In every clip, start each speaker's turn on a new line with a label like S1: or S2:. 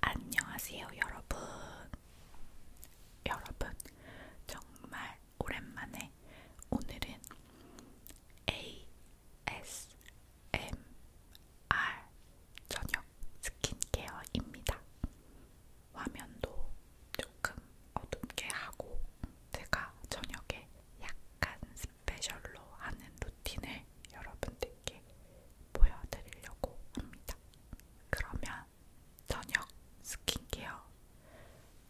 S1: 안녕하세요, 여러분. 여러분, 정말 오랜만에 오늘은 ASMR 저녁 스킨케어입니다. 화면도 조금 어둡게 하고 제가 저녁에 약간 스페셜로 하는 루틴을 영상을 여러분들께 보여드리려고 합니다. 그러면 저녁 스킨케어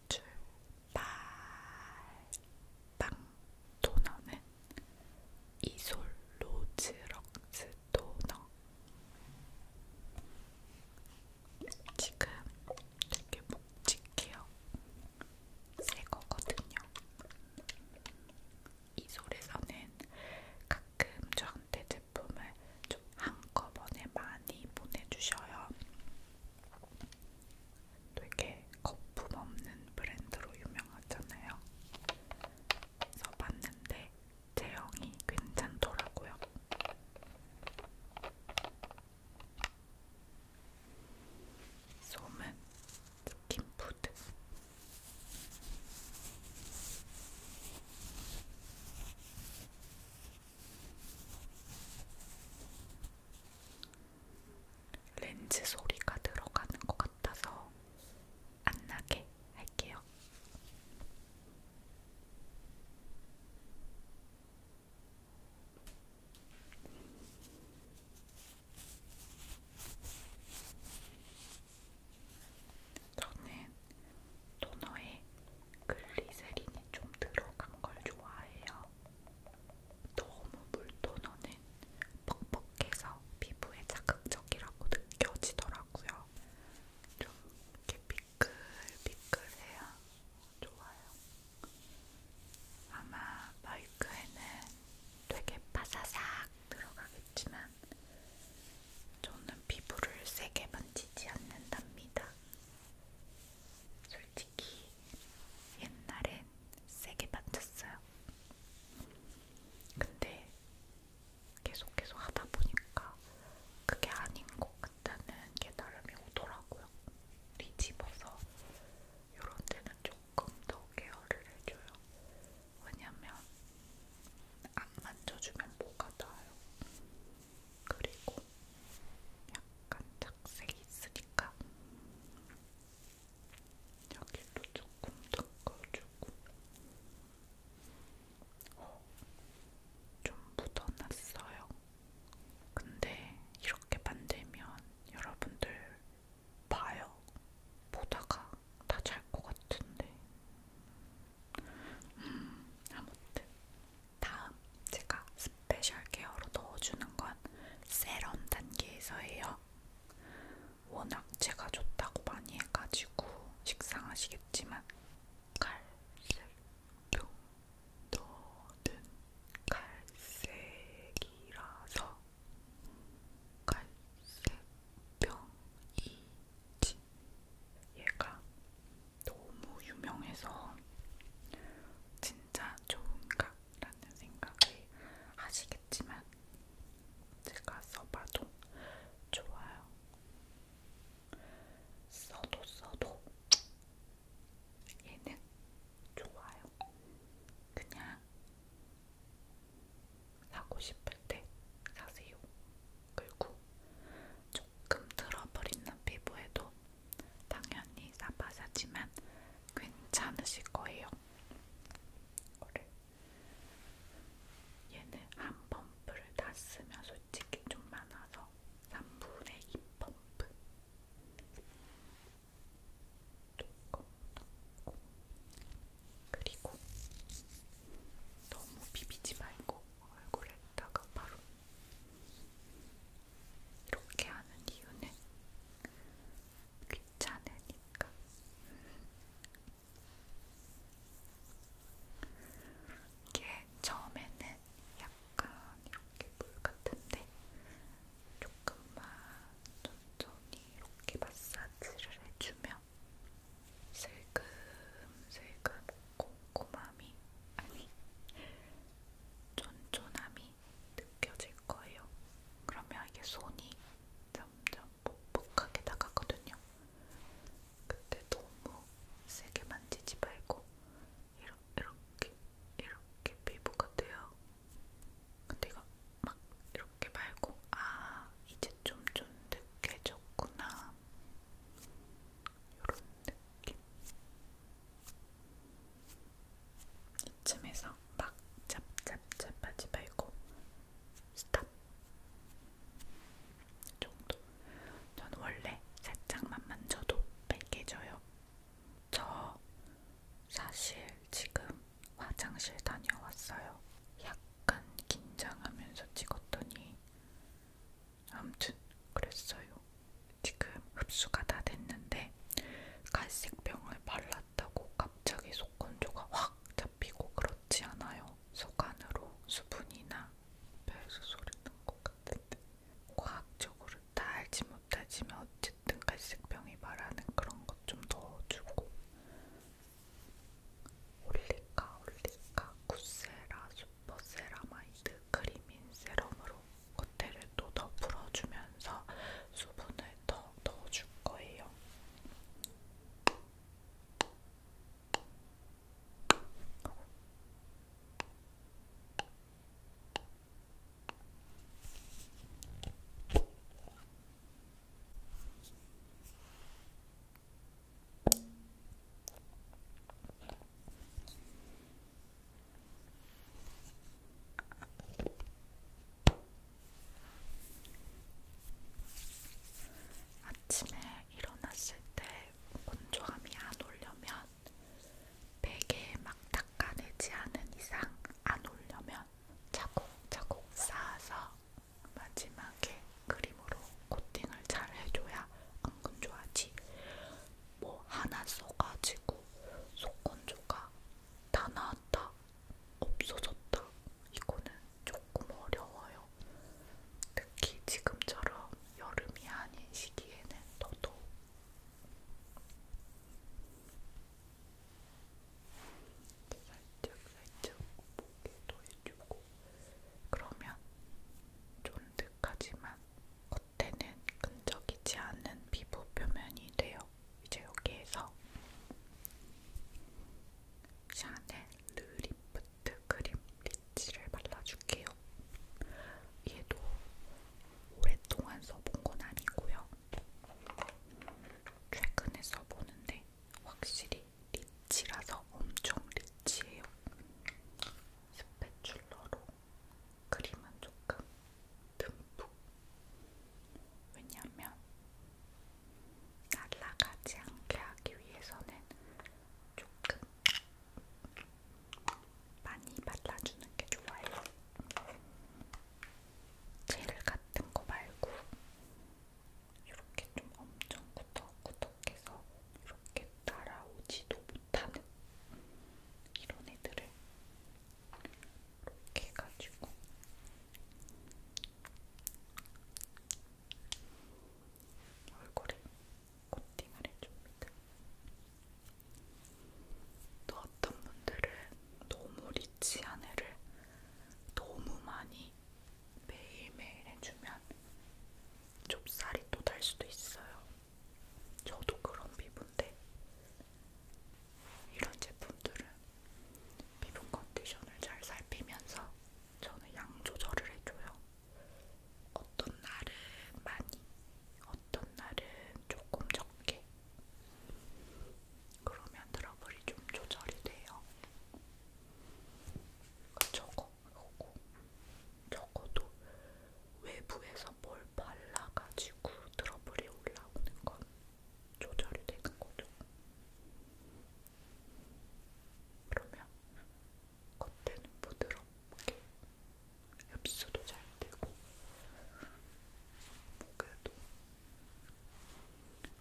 S1: 출발! 빵 토너는 이솔 로즈 럭스 토너 지금 되게 묵직해요. 새 거거든요. 이솔에서는 가끔 저한테 제품을 좀 한꺼번에 많이 보내주셔요. 되게 거품 없는 브랜드로 유명하잖아요. 그래서 봤는데 제형이 괜찮더라고요. 솜은 스킨푸드 렌즈 소리가 들어가는 것 같아서 안 나게 할게요. 저는 토너에 글리세린이 좀 들어간 걸 좋아해요. 너무 물토너는 퍽퍽해서 피부에 자극적이라고 느껴지더라고요. 좀 이렇게 미끌미끌해야 좋아요. 아마 마이크에는 되게 바사삭 들어가겠지만 저는 피부를 세게 만지지 않는답니다. 솔직히 옛날엔 세게 만졌어요. 근데 계속 계속 하다 보니까 그게 아닌 것 같다는 깨달음이 오더라고요. 뒤집어서 요런 데는 조금 더 케어를 해줘요. 왜냐면 안 만져주면 뭐가 나요. 그리고 약간 착색이 있으니까 여기도 조금 닦아주고 어, 좀 묻어났어요. 근데 이렇게 만들면 여러분들 봐요. 보다가 다 잘 것 같은데. 음, 아무튼 다음 제가 스페셜 케어로 넣어주는 건 세럼 단계에서예요. 워낙 제가 좋다고 많이 해가지고 식상하시겠지만 갈색도 너는 갈색이라서 갈색병이지. 얘가 너무 유명해서 진짜 좋은가라는 생각을 하시겠지만 제가 써봐도 좋아요. 써도 써도 얘는 좋아요. 그냥 사고 싶을 때 사세요. 그리고 조금 트러블 있는 피부에도 당연히 사바사지만 괜찮으실 거예요. 그래. 얘는 한 펌프를 다 쓰면 솔직히 좀 많아서 3분의 2 펌프 조금 넣고 그리고 너무 비비지 말고 얼굴에다가 바로 이렇게 하는 이유는 귀찮으니까 이게 처음에는 약 약간 이렇게 물 같은데 조금만 천천히 이렇게 마사지를 해주면 슬금슬금 꼼꼼함이 아니 쫀쫀함이 느껴질 거예요. 그러면 이게 손이 점점 뻑뻑하게 나가거든요. 그때 너무 세게 만지지 말고 이렇게 이렇게 피부 같아요. 근데 이거 막 이렇게 말고 아 이제 좀 쫀득해졌구나 이런 느낌. 이쯤에서 막 짭짭짭하지 말고 스탑 정도. 저는 원래 살짝만 만져도 빨개져요. 저 사실 지금 화장실 다녀왔어요. 약간 긴장하면서 찍었더니 아무튼 그랬어요. 지금 흡수가 다 됐는데 갈색병을 발랐다고 갑자기 속건조가 확 잡히고 그렇지 않아요. 속 안으로 수분이나 배에서 소리 난것 같은데 과학적으로 다 알지 못하지만 어쨌든 갈색병이 말하는 그런 것 좀 더 주고 올리카 올리카 쿠세라 슈퍼세라마이드 크리민 세럼으로 겉에를 또더 풀어주면서 수분을 더 넣어줄 거예요. 아침에 일어났을 때 건조함이 안 오려면 베개에 막 닦아내지 않은 이상 안 오려면 차곡차곡 쌓아서 마지막에 크림으로 코팅을 잘 해줘야 안 건조하지. 뭐 하나 써가지고 속건조가 다 나왔다, 없어졌다. 이거는 조금 어려워요. 특히 지금처럼 여름이 아닌 시기에는 더더욱 살짝 살짝 목에도 해주고 그러면 쫀득하지만 겉에는 끈적이지 않은 피부 표면이 돼요. 이제 여기에서 샤넬 르리 리프트 크림 리치를 발라줄게요. 얘도 오랫동안 써본 건 아니고요. 최근에 써보는데 확실히 리치라서 엄청 리치해요. 스패출러로 크림은 조금 듬뿍. 왜냐면 날라가지 않게 하기 위해서는 조금 많이 발라주는 게 좋아요. 젤 같은 거 말고 이렇게 좀 엄청 꾸덕꾸덕해서 이렇게 따라오지도 못하는 이런 애들을 이렇게 해가지고 얼굴에 코팅을 해줍니다. 또 어떤 분들은 너무 리치한 애를 너무 많이 매일매일 해주면 좁쌀이 또 달 수도 있어요. 저도 그런 피부인데 이런 제품들은 피부 컨디션을 잘 살피면서 저는 양 조절을 해줘요. 어떤 날은 많이, 어떤 날은 조금 적게. 그러면 트러블이 좀 조절이 돼요. 저거, 저거, 저거도 외부에서 뭘 발라가지고 트러블이 올라오는 건 조절이 되는 거죠. 그러면 겉에는 부드럽게 흡수도 잘 되고 목에도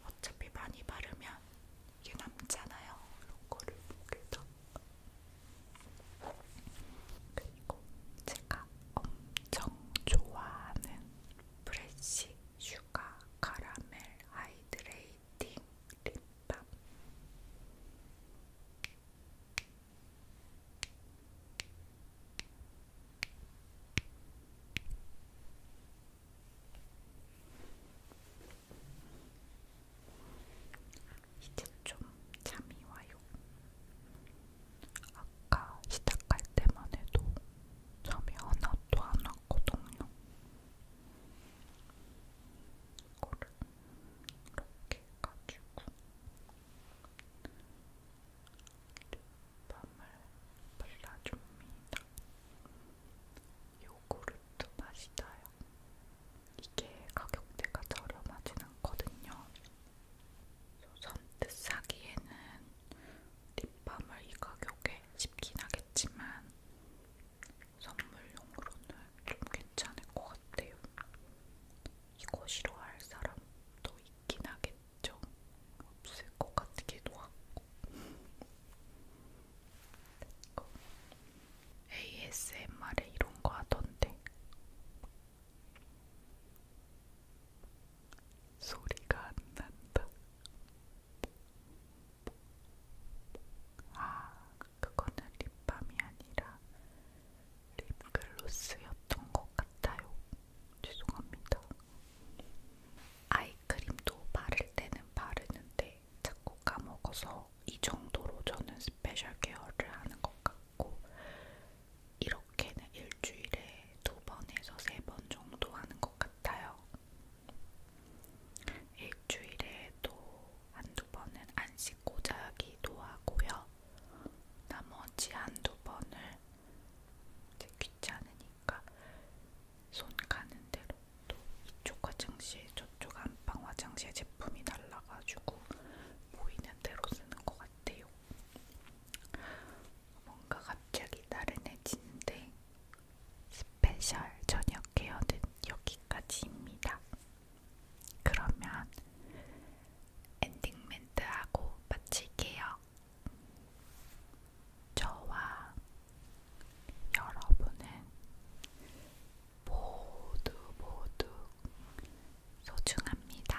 S1: 어차피 많이 바르면 이게 남잖아요. 이런 거를 목에다 그리고 제가 엄청 좋아하는 프레시 슈가 카라멜 하이드레이트 립스틱, 립밤 이제 좀 잠이 와요. 아까 시작할 때만 해도 잠이 하나도 안 왔거든요. 이거를 이렇게 가지고 립밤을 발라줍니다. 요구르트 맛이다요. 이게 가격대가 저렴하진 않거든요. 선뜻 사기에는 립밤을 이 가격에 쉽긴 하겠지만 선물용으로는 좀 괜찮을 것 같아요. 이거 싫어할 사람도 있긴 하겠죠. 없을 것 같기도 하고. ASMR에 이런 거 하던데. 소리가 안 난다. 아, 그거는 립밤이 아니라 립글로스였던 것 같아요. 죄송합니다. 아이크림도 바를 때는 바르는데 자꾸 까먹어서 이 정도로 저는 스페셜 케어를 하는 것 같고 이렇게는 일주일에 두 번에서 세 번 정도 하는 것것 같아요. 일주일에도 한두 번은 안 씻고 자기도 하고요. 나머지 한두 번을 귀찮으니까 손 가는 대로 또 이쪽 화장실 저쪽 안방 화장실 제품이 달라가지고 보이는 대로 쓰는 것 같아요. 뭔가 갑자기 나른해지는데 스페셜 저녁 케어는 여기까지입니다. 그러면 엔딩 멘트하고 마칠게요. 저와 여러분은 모두 모두 소중합니다.